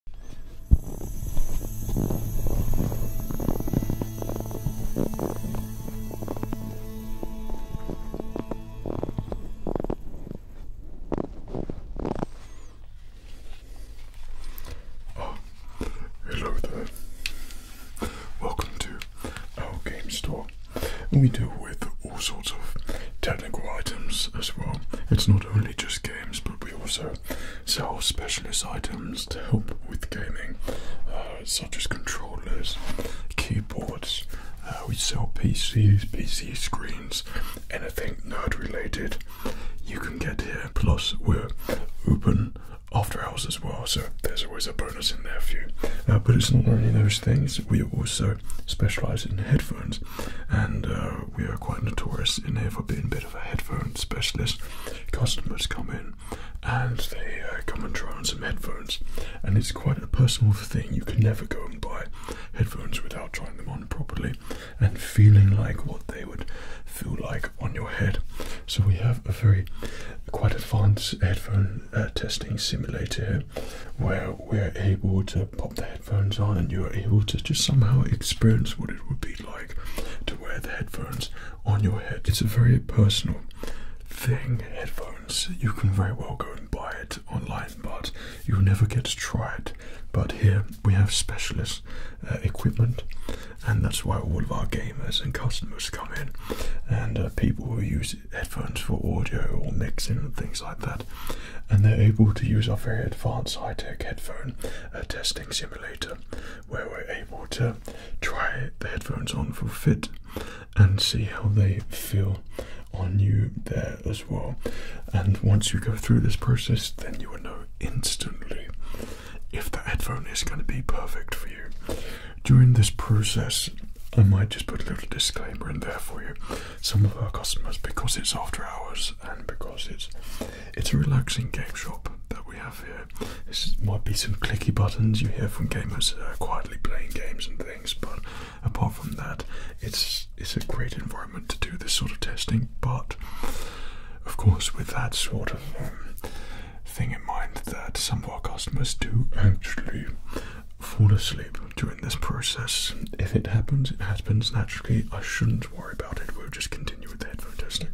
Oh, hello there. Welcome to our game store. We deal with all sorts of technical items as well. It's not only just games, but we also etc. Sell specialist items to help with gaming, uh, such as controllers, keyboards. Uh, we sell PCs, PC screens, anything nerd related. You can get here. Plus, we're open after hours as well, so there's always a bonus in there for you. Uh, but it's not only those things. We also specialise in headphones, and we are quite notorious in here for being of a headphone specialist. Customers come in and they uh, come and try on some headphones, and it's quite a personal thing. You can never go and buy headphones without trying them on properly and feeling like what they would feel like on your head. So we have a very quite advanced headphone uh, testing simulator where we're able to pop the headphones headphones on and you are able to just somehow experience what it would be like to wear the headphones on your head. It's a very personal thing, headphones. You can very well go and buy it online, but you'll never get to try it. But here we have specialist uh, equipment, and that's why all of our gamers and customers come in, and uh, people who use headphones for audio or mixing and things like that, and they're able to use our very advanced high-tech headphone a testing simulator where we're able to try the headphones on for fit and see how they feel on you there as well. And once you go through this process, then you will know instantly if the headphone is going to be perfect for you. During this process, I might just put a little disclaimer in there for you. Some of our customers, because it's after hours, and because it's it's a relaxing game shop that we have here. This might be some clicky buttons you hear from gamers quietly playing games and things, but apart from that, it's it's a great environment to do this sort of testing. But of course, with that sort of um, thing in mind, that some of our customers do actually fall asleep during this process. If it happens, it happens naturally. I shouldn't worry about it. We'll just continue continue with the headphone testing.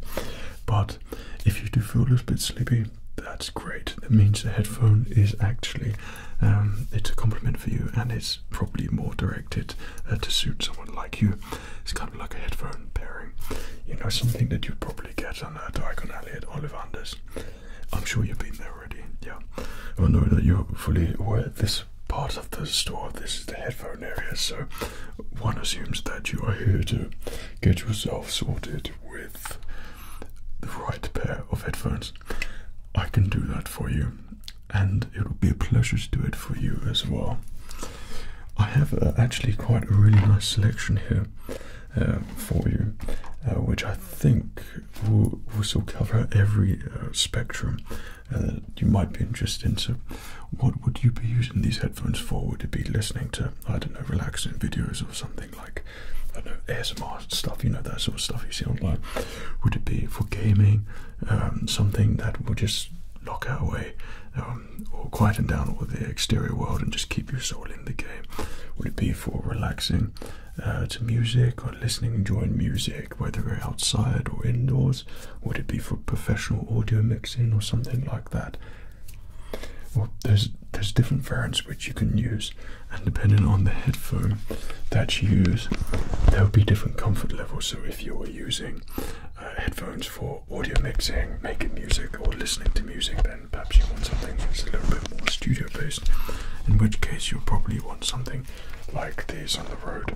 But if you do feel a little bit sleepy, that's great. It means the headphone is actually um, it's a compliment for you, and it's probably more directed uh, to suit someone like you. It's kind of like a headphone pairing, you know, something that you'd probably get on a uh, Diagon Alley at Ollivander's. I'm sure you've been there already. Yeah, I know that you're fully aware. This part of the store. This is the headphone area, so one assumes that you are here to get yourself sorted with the right pair of headphones. I can do that for you, and it will be a pleasure to do it for you as well. I have uh, actually quite a really nice selection here uh, for you, uh, which I think will also cover every spectrum uh, you might be interested in. So, what would you be using these headphones for? Would it be listening to, I don't know, relaxing videos or something like, I don't know, ASMR stuff, you know, that sort of stuff you see online? Would it be for gaming, um, something that will just lock our way um, or quieten down all the exterior world and just keep your soul in the game? Would it be for relaxing uh, to music or listening, enjoying music? whether we're outside or indoors? Would it be for professional audio mixing or something like that? Well, there's there's different variants which you can use, and depending on the headphone that you use, there'll be different comfort levels. So if you're using uh, headphones for audio mixing, making music, or listening to music, then perhaps you want something that's a little bit more studio-based. In which case, you'll probably want something like these on the road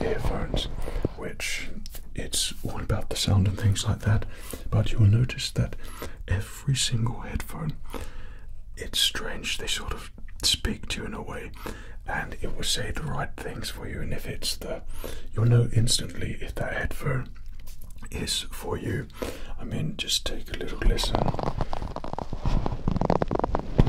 earphones which it's all about the sound and things like that. But you will notice that every single headphone, it's strange, they sort of speak to you in a way and it will say the right things for you. And if it's the, you'll know instantly if that headphone is for you. I mean, just take a little listen.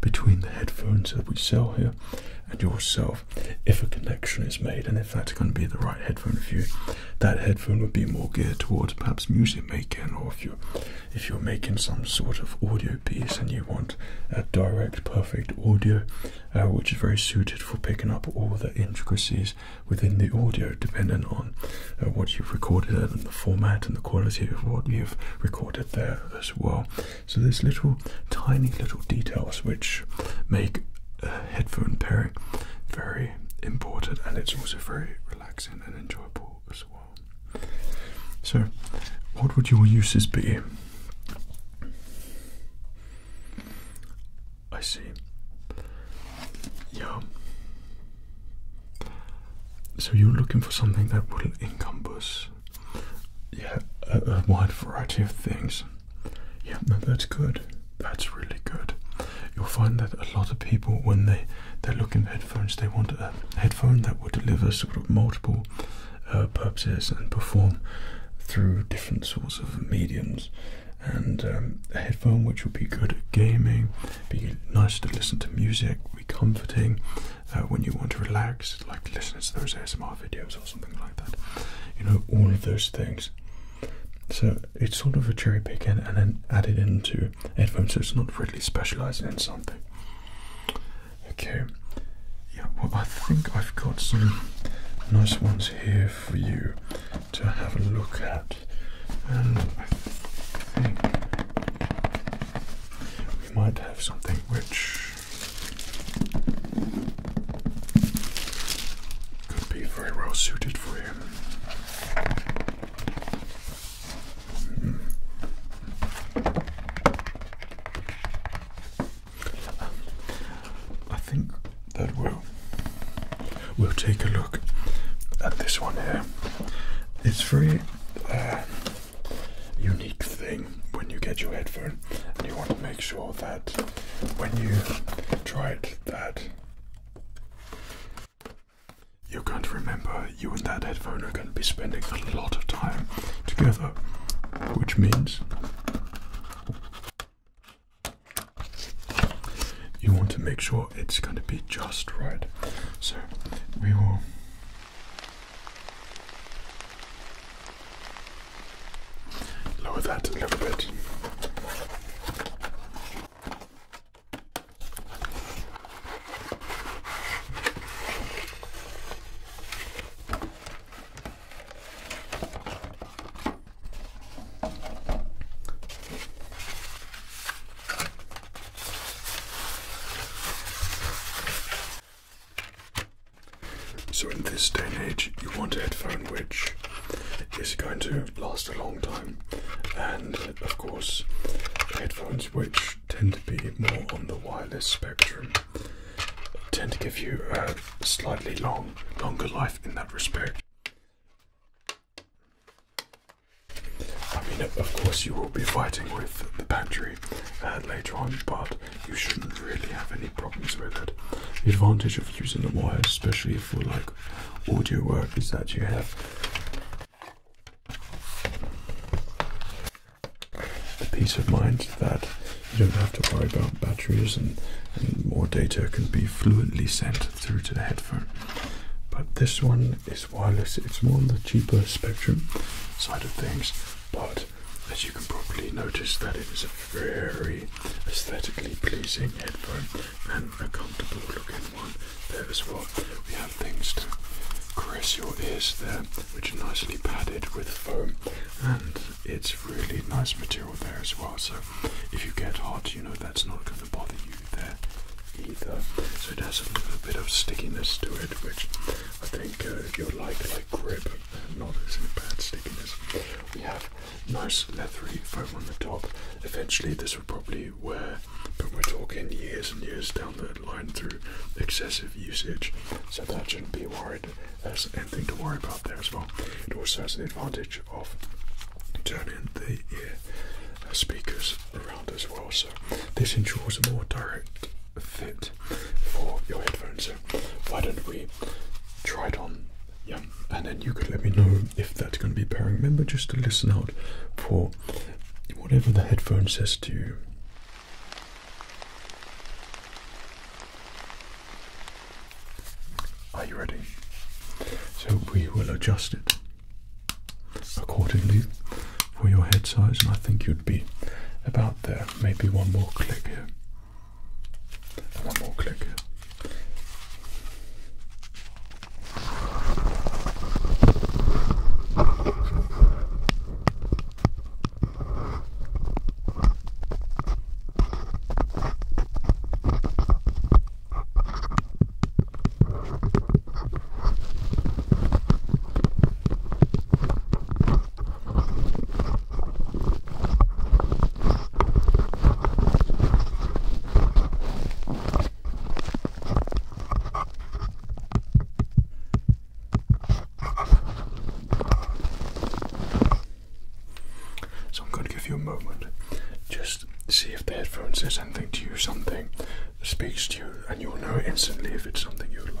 between the headphones that we sell here and yourself. If a connection is made, and if that's going to be the right headphone for you, that headphone would be more geared towards perhaps music making, or if you're if you're making some sort of audio piece and you want a direct, perfect audio, uh, which is very suited for picking up all the intricacies within the audio, depending on uh, what you've recorded and the format and the quality of what you've recorded there as well. So there's little tiny little details which make a headphone pairing very important and it's also very relaxing and enjoyable as well. So what would your uses be? I see. Yeah. So you're looking for something that will encompass yeah, a, wide variety of things. Yeah, no, that's good. That's really good. You'll find that a lot of people, when they they're looking at headphones, they want a headphone that will deliver sort of multiple uh, purposes and perform through different sorts of mediums. And um, a headphone which would be good at gaming, be nice to listen to music, comforting uh, when you want to relax, like listening to those ASMR videos or something like that. You know, all of those things. So it's sort of a cherry picking and, then add it into headphones, so it's not really specializing in something. Okay, yeah, well, I think I've got some nice ones here for you to have a look at, and I think we might have something which could be very well suited for you. I think that we'll we'll take a look at this one here. It's very uh, unique thing when you get your headphone, and you want to make sure that when you try it, that you can't remember you and that headphone are going to be spending a lot of time together, which means you want to make sure it's going to be just right. So we will Lower that a little bit. So, in this day and age, you want a headphone which is going to last a long time, and of course, headphones which tend to be more on the wireless spectrum tend to give you a slightly long, longer life in that respect. I mean, of course, you will be fighting with the battery uh, later on, but you shouldn't really have any problems with it. The advantage of using the wire, especially for like audio work, is that you have the peace of mind that you don't have to worry about batteries and, and more data can be fluently sent through to the headphone. But this one is wireless, it's more on the cheaper spectrum side of things but as you can probably notice that it is a very aesthetically pleasing headphone and a comfortable looking one there as well. We have things to caress your ears there which are nicely padded with foam and it's really nice material there as well so if you get hot you know that's not going to bother you there either so it has a little bit of stickiness to it which I think uh, you like like, grip and not as bad stickiness. We have nice leathery foam on the top. Eventually, this will probably wear, but we're talking years and years down the line through excessive usage, so that shouldn't be worried. There's anything to worry about there as well. It also has the advantage of turning the uh, speakers around as well, so this ensures a more direct fit for your headphones. So why don't we try it on? Yeah, and then you could let me know if that's going to be pairing. Remember just to listen out for whatever the headphones says to you. Are you ready? So we will adjust it accordingly for your head size, and I think you'd be about there. Maybe one more click here. One more click here. So I'm going to give you a moment. Just see if the headphones says anything to you, something speaks to you, and you'll know instantly if it's something you would like.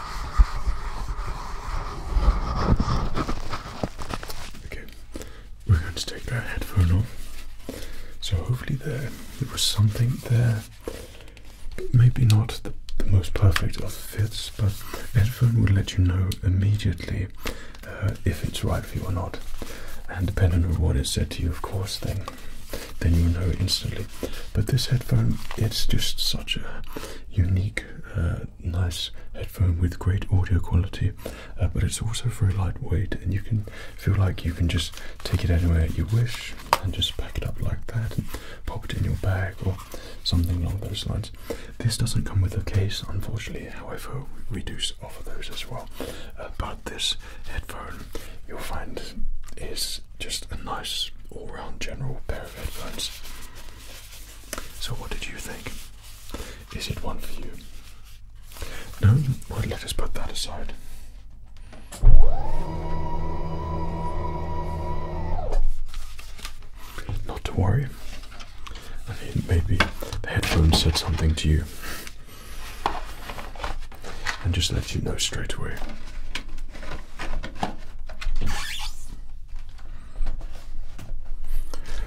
Okay, we're going to take that headphone off. So hopefully there was something there. Maybe not the, the most perfect of fits, but the headphone will let you know immediately uh, if it's right for you or not. And depending on what is said to you, of course, then then you'll know instantly. But this headphone, it's just such a unique, uh, nice headphone with great audio quality, uh, but it's also very lightweight, and you can feel like you can just take it anywhere you wish and just pack it up like that and pop it in your bag or something along those lines. This doesn't come with a case, unfortunately, however, we do offer those as well. Uh, but this headphone you'll find is just a nice all-round general pair of headphones. So what did you think? Is it one for you? No? Well, let us put that aside. Not to worry. maybe the headphones said something to you and just let you know straight away.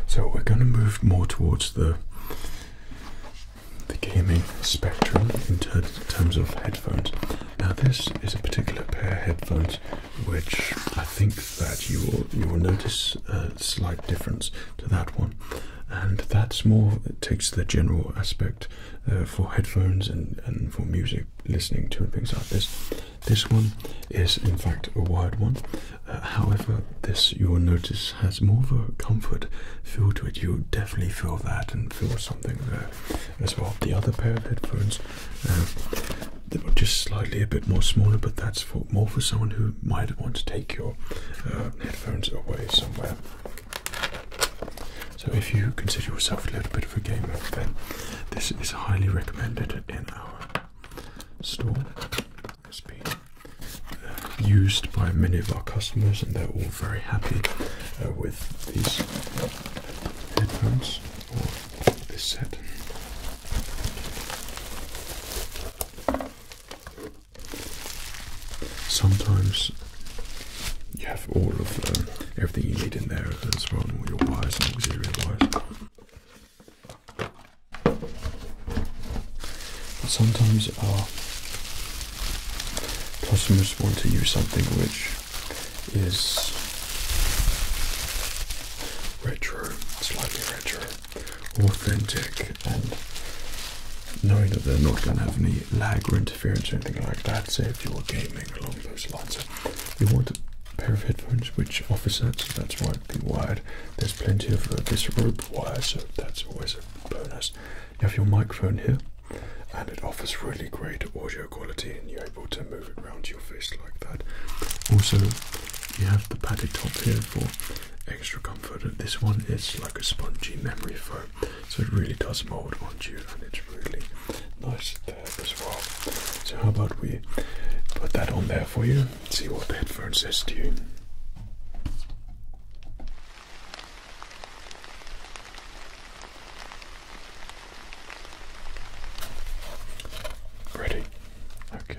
So we're going to move more towards the the gaming spectrum in terms of headphones. Now this is a particular pair of headphones which I think that you will you will notice a slight difference to that one, and that's more it takes the general aspect uh, for headphones and and for music listening to and things like this. This one is in fact a wired one. Uh, however, this you will notice has more of a comfort feel to it. you definitely feel that and feel something there as well. The other pair of headphones, uh, they were just slightly a bit more smaller, but that's for more for someone who might want to take your uh, headphones away somewhere. So if you consider yourself a little bit of a gamer, then this is highly recommended in our store. It's been uh, used by many of our customers, and they're all very happy uh, with these headphones or this set. Sometimes you have all of them. Um, everything you need in there as well, as all your wires and auxiliary wires. But sometimes our customers want to use something which is retro, slightly retro, authentic, and knowing that they're not going to have any lag or interference or anything like that, say if you are gaming along those lines you want a pair of headphones which offers that, so that's why the wired. There's plenty of uh, this rope wire, so that's always a bonus. You have your microphone here, and it offers really great audio quality, and you're able to move it around your face like that. Also, you have the padded top here for extra comfort. And this one is like a spongy memory foam, so it really does mold onto you, and it's really nice there as well. So how about we put that on there for you? See what the headphone says to you. Ready? Okay.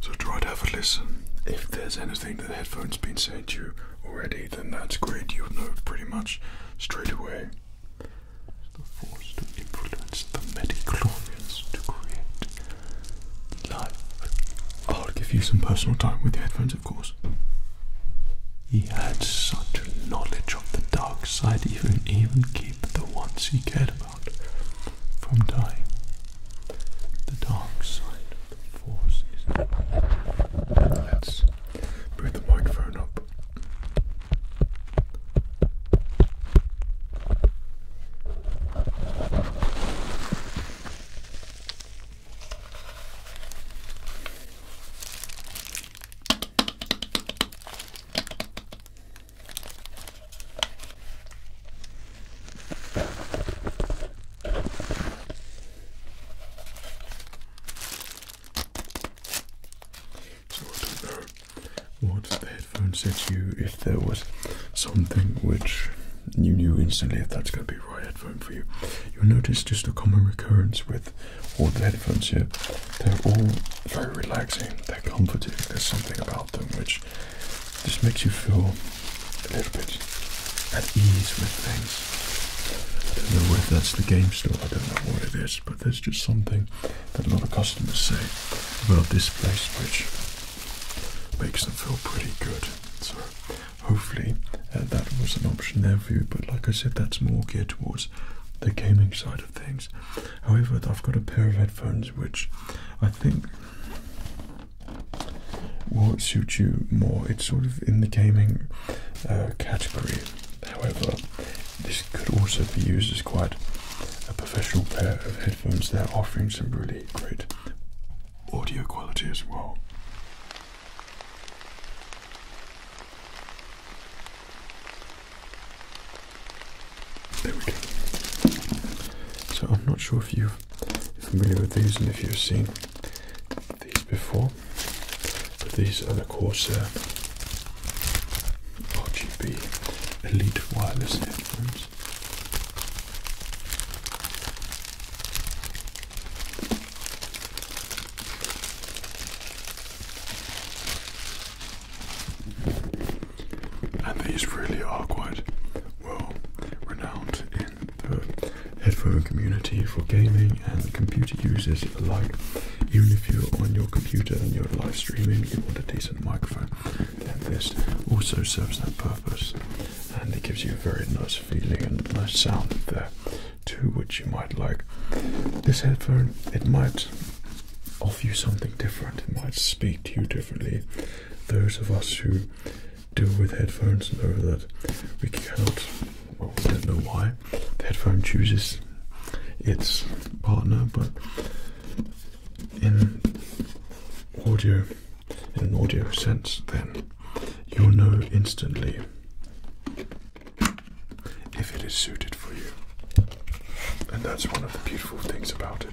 So try to have a listen if there's anything that the headphones been saying to you already, then that's great. You'll know pretty much straight away. the force to influence the Medichlorians to create life. I'll give you some personal time with the headphones, of course. He had such knowledge of the dark side, he even keep the ones he cared about from dying. The dark side. Let's move the microphone up. So I don't know what the headphone said to you if there was something which you knew instantly if that's going to be right headphone for you. You'll notice just a common recurrence with all the headphones here. They're all very relaxing, they're comforting, there's something about them which just makes you feel a little bit at ease with things. I don't know whether that's the game store, I don't know what it is, but there's just something that a lot of customers say about this place which makes them feel pretty good. So hopefully uh, that was an option there for you, but like I said, that's more geared towards the gaming side of things. However, I've got a pair of headphones which I think will suit you more. It's sort of in the gaming uh, category. However, this could also be used as quite a professional pair of headphones. They're offering some really great audio quality as well. There we go. So I'm not sure if you're familiar with these and if you've seen these before, but these are the Corsair uh, RGB Elite Wireless Headphones. And these really are quite well renowned the headphone community for gaming and computer users alike. Even if you're on your computer and you're live streaming, you want a decent microphone. Then this also serves that purpose, and it gives you a very nice feeling and nice sound there too, which you might like. This headphone, it might offer you something different. It might speak to you differently. Those of us who do with headphones know that we cannot, well, we don't know why the headphone chooses its partner, but in audio, in an audio sense, then you'll know instantly if it is suited for you. And that's one of the beautiful things about it.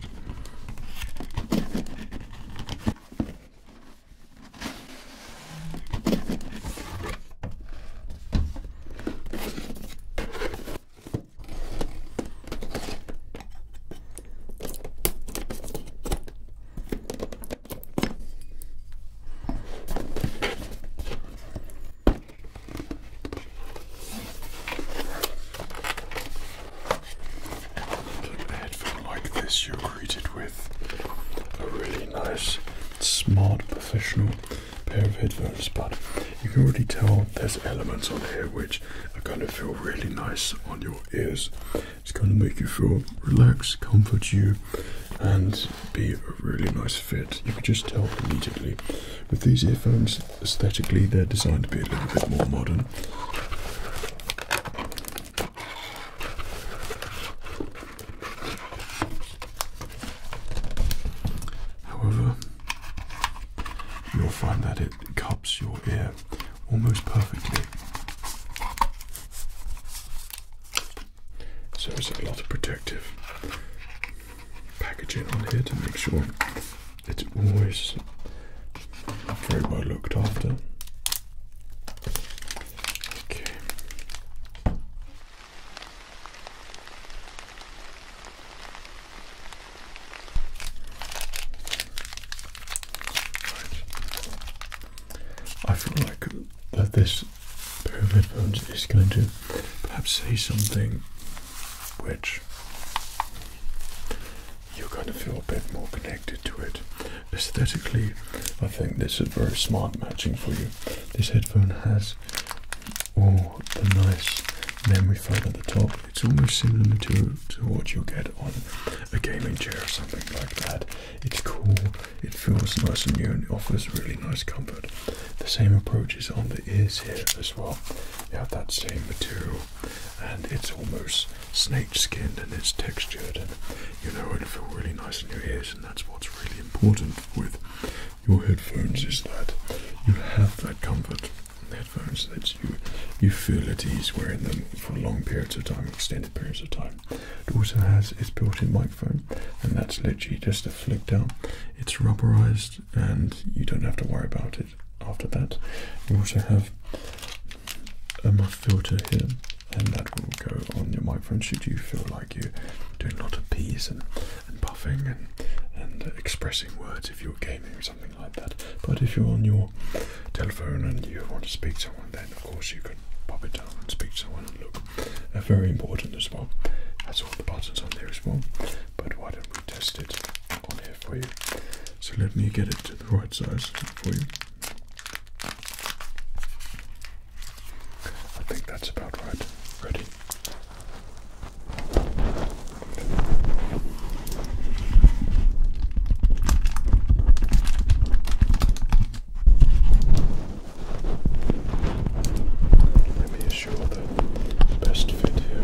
An headphone like this, you're greeted with a really nice, smart, professional pair of headphones, but you can already tell there's elements on here which are going to feel really nice on your ears. It's going to make you feel relaxed, comfort you, and be a really nice fit. You can just tell immediately. With these earphones, aesthetically, they're designed to be a little bit more modern. However, you'll find that it cups your ear almost perfectly. So there's a lot of protective packaging on here to make sure it's always very well looked after. I feel like that this pair of headphones is going to perhaps say something which you're going to feel a bit more connected to it aesthetically, I think this is very smart matching for you. This headphone has all the nice memory foam at the top. It's almost similar material to what you'll get on a gaming chair or something like that. It's cool, it feels nice and new and it offers really nice comfort. The same approach is on the ears here as well. You have that same material and it's almost snake aged skin and it's textured and you know it'll feel really nice in your ears and that's what's really important with your headphones is that you have that comfort in the headphones that you you feel at ease wearing them for long periods of time, extended periods of time. It also has its built-in microphone and that's literally just a flick down. It's rubberized and you don't have to worry about it after that. You also have a muff filter here and that will go on your microphone should you feel like you're doing a lot of peas and, and puffing and, and expressing words if you're gaming or something like that. But if you're on your telephone and you want to speak to someone, then of course you can pop it down and speak to someone look. they very important as well. That's all the buttons on there as well. But why don't we test it on here for you? So let me get it to the right size for you. I think that's about right. Ready? Let me assure the best fit here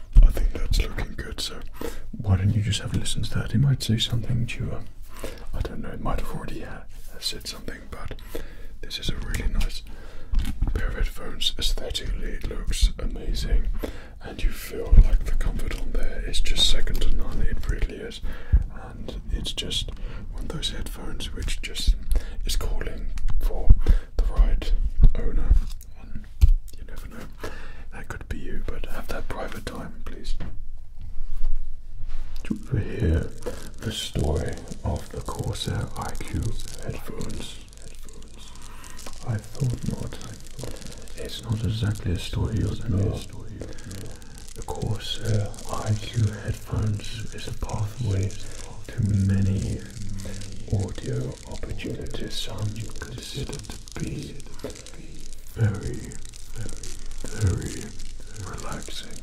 I think that's looking good. So why don't you just have a listen to that? It might say something to you. I don't know. It might have already uh, said something, but this is a really nice pair of headphones. Aesthetically, it looks amazing, and you feel like the comfort on there is just second to none. It really is, and it's just one of those headphones which just is calling for the right owner you never know, that could be you, but have that private time, please. To hear the story of the Corsair IQ headphones. I thought not. It's not exactly a story you'll know. The Corsair IQ headphones is a pathway to many audio your opportunity, son, consider to be very, very, very relaxing.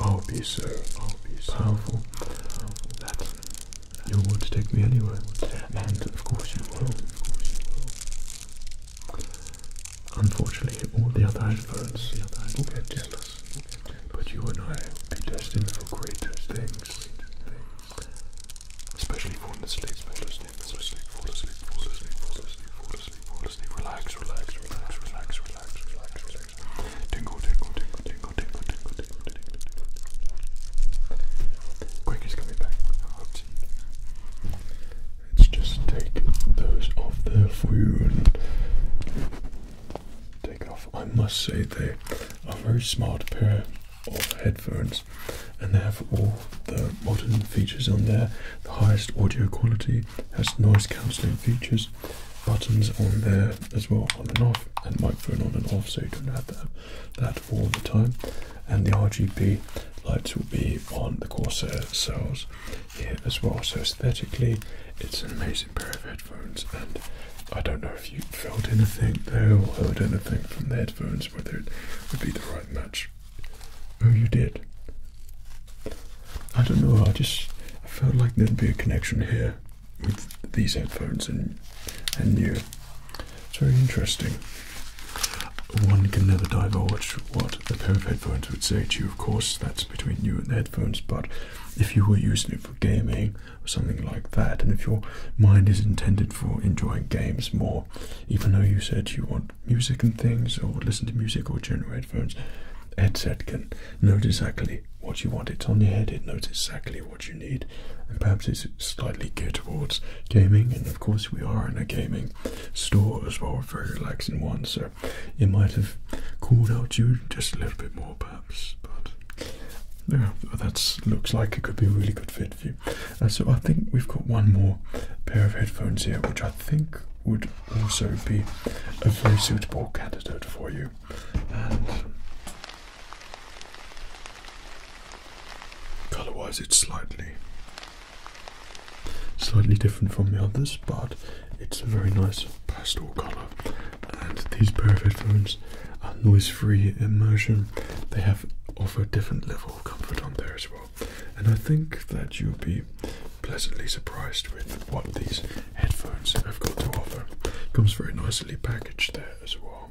I'll be so powerful that you would take me anywhere, and of course you will. Unfortunately, all the other adverts will get jealous, but you and I will be destined for greater things. Especially falling asleep, the asleep, fall asleep, fall asleep, fall asleep, fall asleep, fall asleep, fall asleep. Relax, relax, relax, relax, relax, relax, relax. Tingle, tingle, tingle, tingle, tingle, tingle, tingle, tingle, tingle. Quick coming back. Let's just take those off there for you and take off. I must say they are a very smart pair of headphones and they have all the modern features on there the highest audio quality has noise cancelling features buttons on there as well on and off and microphone on and off so you don't have that, that all the time and the rgb lights will be on the corsair cells here as well so aesthetically it's an amazing pair of headphones and I don't know if you felt anything there or heard anything from the headphones, whether it would be the right match. Oh, you did? I don't know, I just felt like there'd be a connection here with these headphones and, and you. It's very interesting. One can never divulge what a pair of headphones would say to you, of course, that's between you and the headphones, but if you were using it for gaming or something like that. And if your mind is intended for enjoying games more, even though you said you want music and things, or listen to music, or generate phones, headset can note exactly what you want. It's on your head, it knows exactly what you need, and perhaps it's slightly geared towards gaming. And of course, we are in a gaming store as well, very relaxing one, so it might have cooled out you just a little bit more. But perhaps, but that looks like it could be a really good fit for you. so I think we've got one more pair of headphones here, which I think would also be a very suitable candidate for you. And colour-wise, it's slightly, slightly different from the others, but it's a very nice pastel colour and these perfect phones are noise-free immersion. They have offer a different level of comfort on there as well. And I think that you'll be pleasantly surprised with what these headphones have got to offer. Comes very nicely packaged there as well.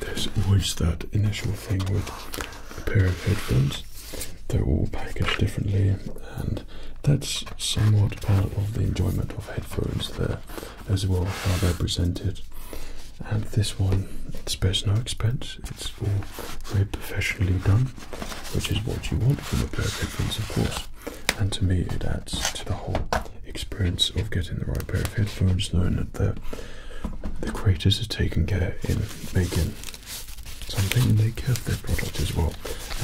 There's always that initial thing with a pair of headphones. They're all packaged differently, and that's somewhat part of the enjoyment of headphones there as well, how they're presented. And this one spares no expense, it's all very professionally done, which is what you want from a pair of headphones, of course and to me it adds to the whole experience of getting the right pair of headphones, knowing that the creators are taking care in making something and they care their product as well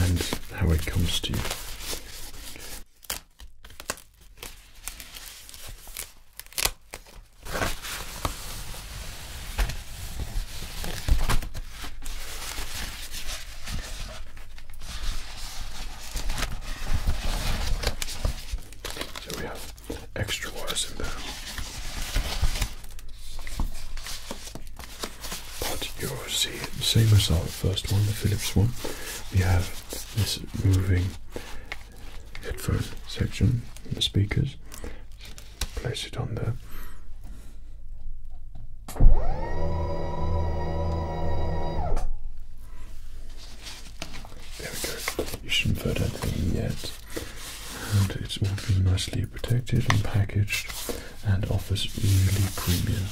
and how it comes to you. So we have extra wires in there. But you'll see, same as our first one, the Philips one, we have this moving headphone section, the speakers. Place it on the. There we go. You shouldn't put out thing yet. And it's all been nicely protected and packaged and offers really premium.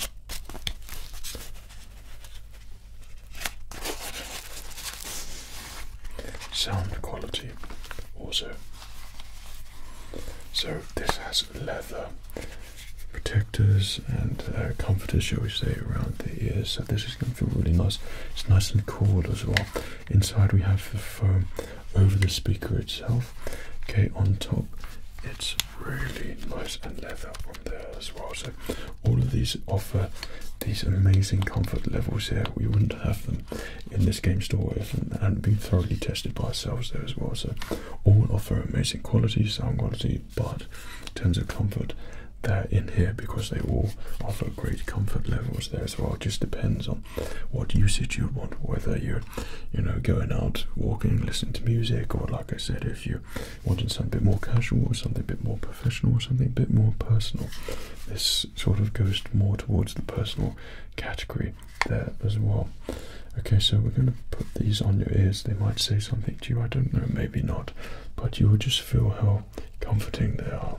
Sound quality also. So this has leather protectors and uh, comforters, shall we say, around the ears. So this is going to feel really nice. It's nice and cool as well. Inside we have the foam over the speaker itself. Okay, on top it's really nice and leather on there as well. So all of these offer these amazing comfort levels here. We wouldn't have them in this game store if hadn't been thoroughly tested by ourselves there as well. So all offer amazing quality, sound quality, but in terms of comfort, they're in here because they all offer great comfort levels there as well. It just depends on what usage you want, whether you're, you know, going out, walking, listening to music, or like I said, if you want something a bit more casual or something a bit more professional or something a bit more personal. This sort of goes more towards the personal category there as well. Okay, so we're going to put these on your ears. They might say something to you, I don't know, maybe not, but you will just feel how comforting they are.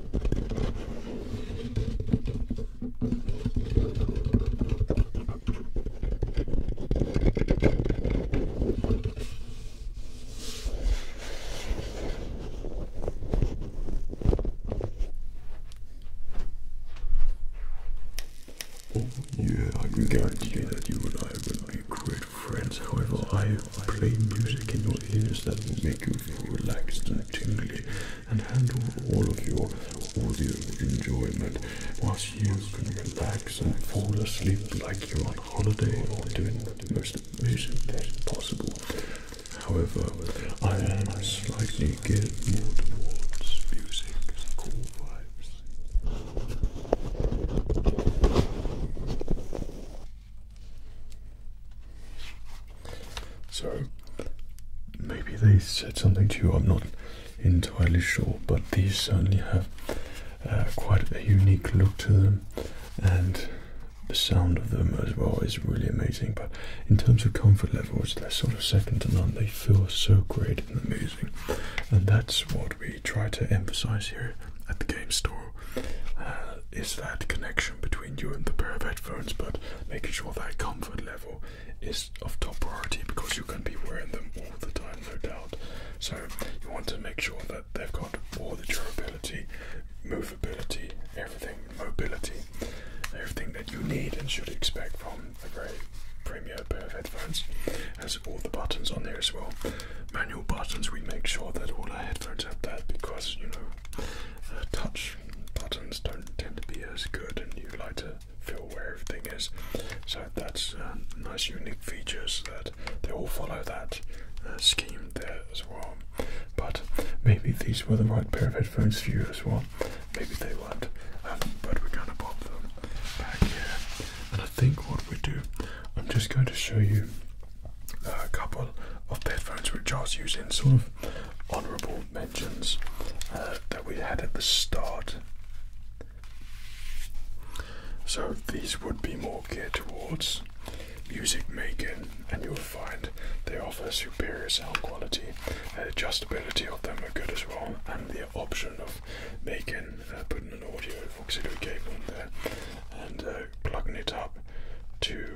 Oh, yeah, I can guarantee that you and I would be great friends. However, I Play music in your ears that will make you feel relaxed and tingly and handle all of your audio enjoyment whilst you can relax and fall asleep like you're on holiday or doing the most amazing thing possible. However, I am slightly geared more towards music cool vibes. So, maybe they said something to you, I'm not entirely sure, but these certainly have uh, quite a unique look to them, and the sound of them as well is really amazing. But in terms of comfort levels, they're sort of second to none, they feel so great and amazing, and that's what we try to emphasize here at the game store. Uh, is that connection between you and the pair of headphones, but making sure that comfort level is of top priority because you can be wearing them all the time, no doubt. So you want to make sure that they've got all the durability, movability, everything, mobility, everything that you need and should expect from a very premium pair of headphones. Has all the buttons on there as well. Manual buttons, we make sure that all our headphones have that because you know uh, touch buttons don't tend to be as good, and you would like to feel where everything is. So that's uh, nice, unique features that they all follow that uh, scheme there as well. But maybe these were the right pair of headphones for you as well. Maybe they weren't, um, but we're going to pop them back here. And I think what we do, I'm just going to show you a couple of headphones which I was using, sort of honourable mentions uh, that we had at the start. So these would be more geared towards music making, and you'll find they offer superior sound quality. The adjustability of them are good as well, and the option of making uh, putting an audio auxiliary cable in there and uh, plugging it up to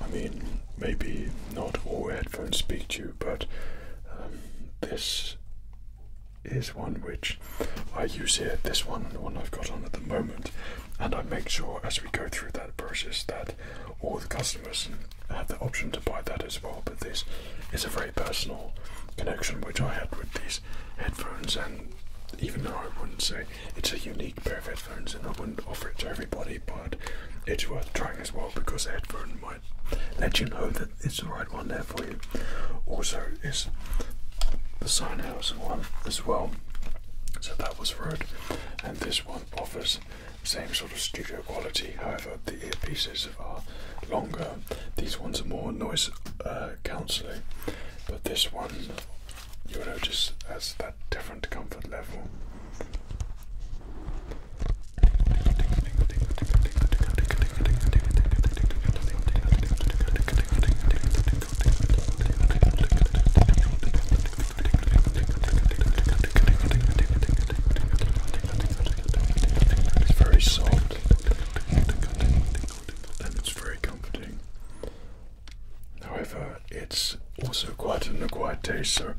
I mean, maybe not all headphones speak to you, but um, this is one which I use here. This one, the one I've got on at the moment, and I make sure as we go through that process that all the customers have the option to buy that as well. But this is a very personal connection which I had with these headphones, and even though I wouldn't say it's a unique pair of headphones and I wouldn't offer it to everybody, but it's worth trying as well because the headphone might let you know that it's the right one there for you. Also, is the House one as well. So that was rude, and this one offers same sort of studio quality. However, the earpieces are longer. These ones are more noise uh, cancelling. But this one, you'll notice, has that different comfort level. It's very soft and it's very comforting. However, it's also quite an acquired taste, so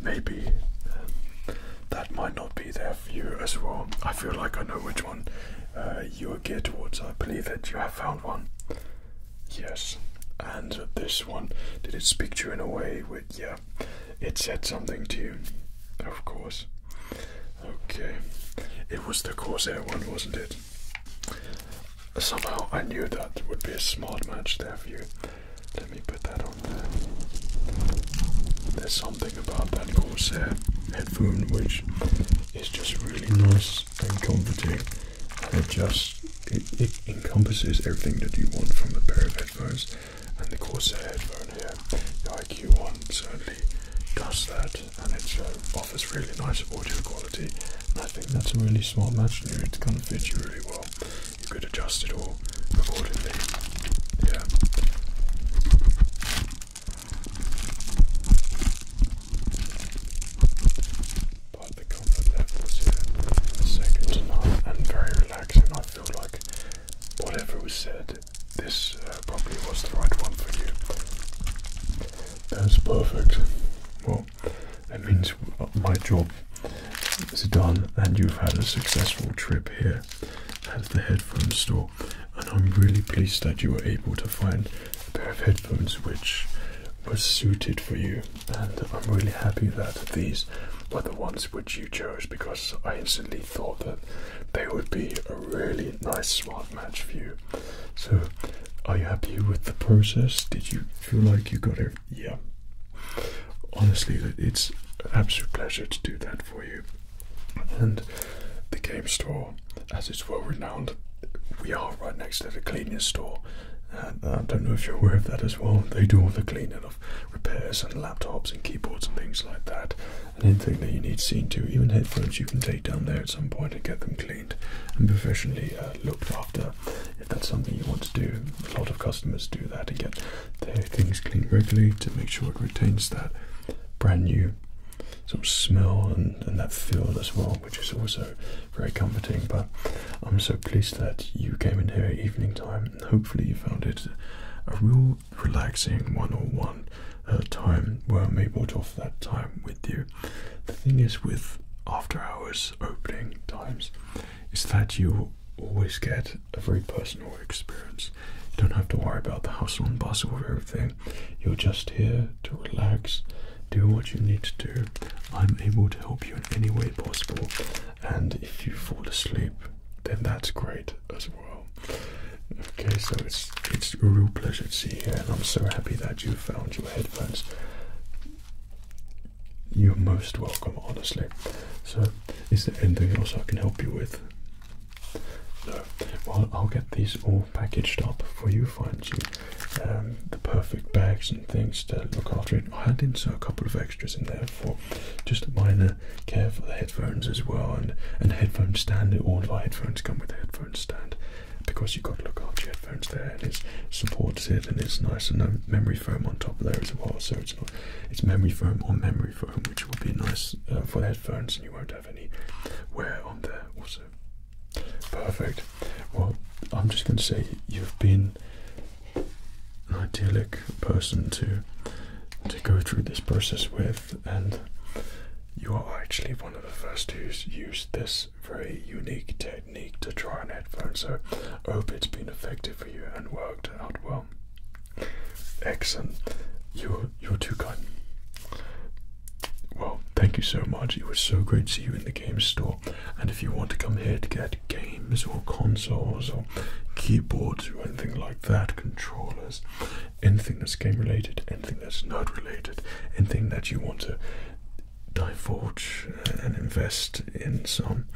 maybe um, that might not be there for you as well. I feel like I know which one uh, you are geared towards. I believe that you have found one. Yes, and this one did it speak to you in a way with yeah, it said something to you, of course. Okay, it was the Corsair one, wasn't it? Somehow I knew that would be a smart match there for you. Let me put that on there. There's something about that Corsair headphone which is just really nice and comforting. it just it encompasses everything that you want from a pair of headphones. And the Corsair headphone here, the IQ one certainly does that and it offers really nice audio quality and I think that's a really smart match and it kind of fits you really well. You could adjust it all accordingly. Yeah. But the comfort levels here second to none and very relaxing. I feel like whatever was said, this uh, probably was the right one for you. That's perfect. Well, that means my job is done, and you've had a successful trip here at the headphone store. And I'm really pleased that you were able to find a pair of headphones which were suited for you. And I'm really happy that these were the ones which you chose because I instantly thought that they would be a really nice one. Match for you. So, are you happy with the process? Did you feel like you got it? Yeah. Honestly, it's absolute pleasure to do that for you. And the game store, as it's well renowned, we are right next to the cleaning store. Uh, I don't know if you're aware of that as well. They do all the cleaning of repairs and laptops and keyboards and things like that. Anything that you need seen to. Even headphones you can take down there at some point and get them cleaned and professionally uh, looked after if that's something you want to do. A lot of customers do that and get their things cleaned regularly to make sure it retains that brand new smell and, that feel as well, which is also very comforting. But I'm so pleased that you came in here at evening time. Hopefully you found it a real relaxing one-on-one uh, time where I'm able to offer that time with you. The thing is with after hours opening times is that you always get a very personal experience. You don't have to worry about the hustle and bustle of everything. You're just here to relax, do what you need to do. I'm able to help you in any way possible. And if you fall asleep, then that's great as well. Okay, so it's it's a real pleasure to see you here, and I'm so happy that you found your headphones. You're most welcome, honestly. So, is there anything else I can help you with? No. Well, I'll get these all packaged up for you, find you um, the perfect bags and things to look after it. I had insert a couple of extras in there for just minor care for the headphones as well, and and headphone stand. All of our headphones come with a headphone stand because you've got to look after your headphones there and it's supported and it's nice and no memory foam on top there as well so it's not it's memory foam on memory foam which will be nice uh, for headphones and you won't have any wear on there also perfect well i'm just going to say you've been an idyllic person to to go through this process with and you are actually one of the first to use this very unique technique to try an headphone. So I hope it's been effective for you and worked out well. Excellent. You're you're too kind. Well, thank you so much. It was so great to see you in the game store. And if you want to come here to get games or consoles or keyboards or anything like that, controllers, anything that's game related, anything that's not related, anything that you want to divulge and invest in some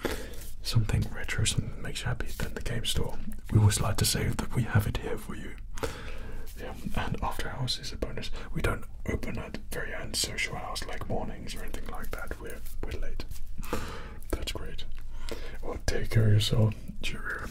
something retro, something makes you happy, then the game store. We always like to say that we have it here for you. Yeah, and after hours is a bonus. We don't open at very end social hours like mornings or anything like that. We're we're late. That's great. Well, take care of yourself. Cheers.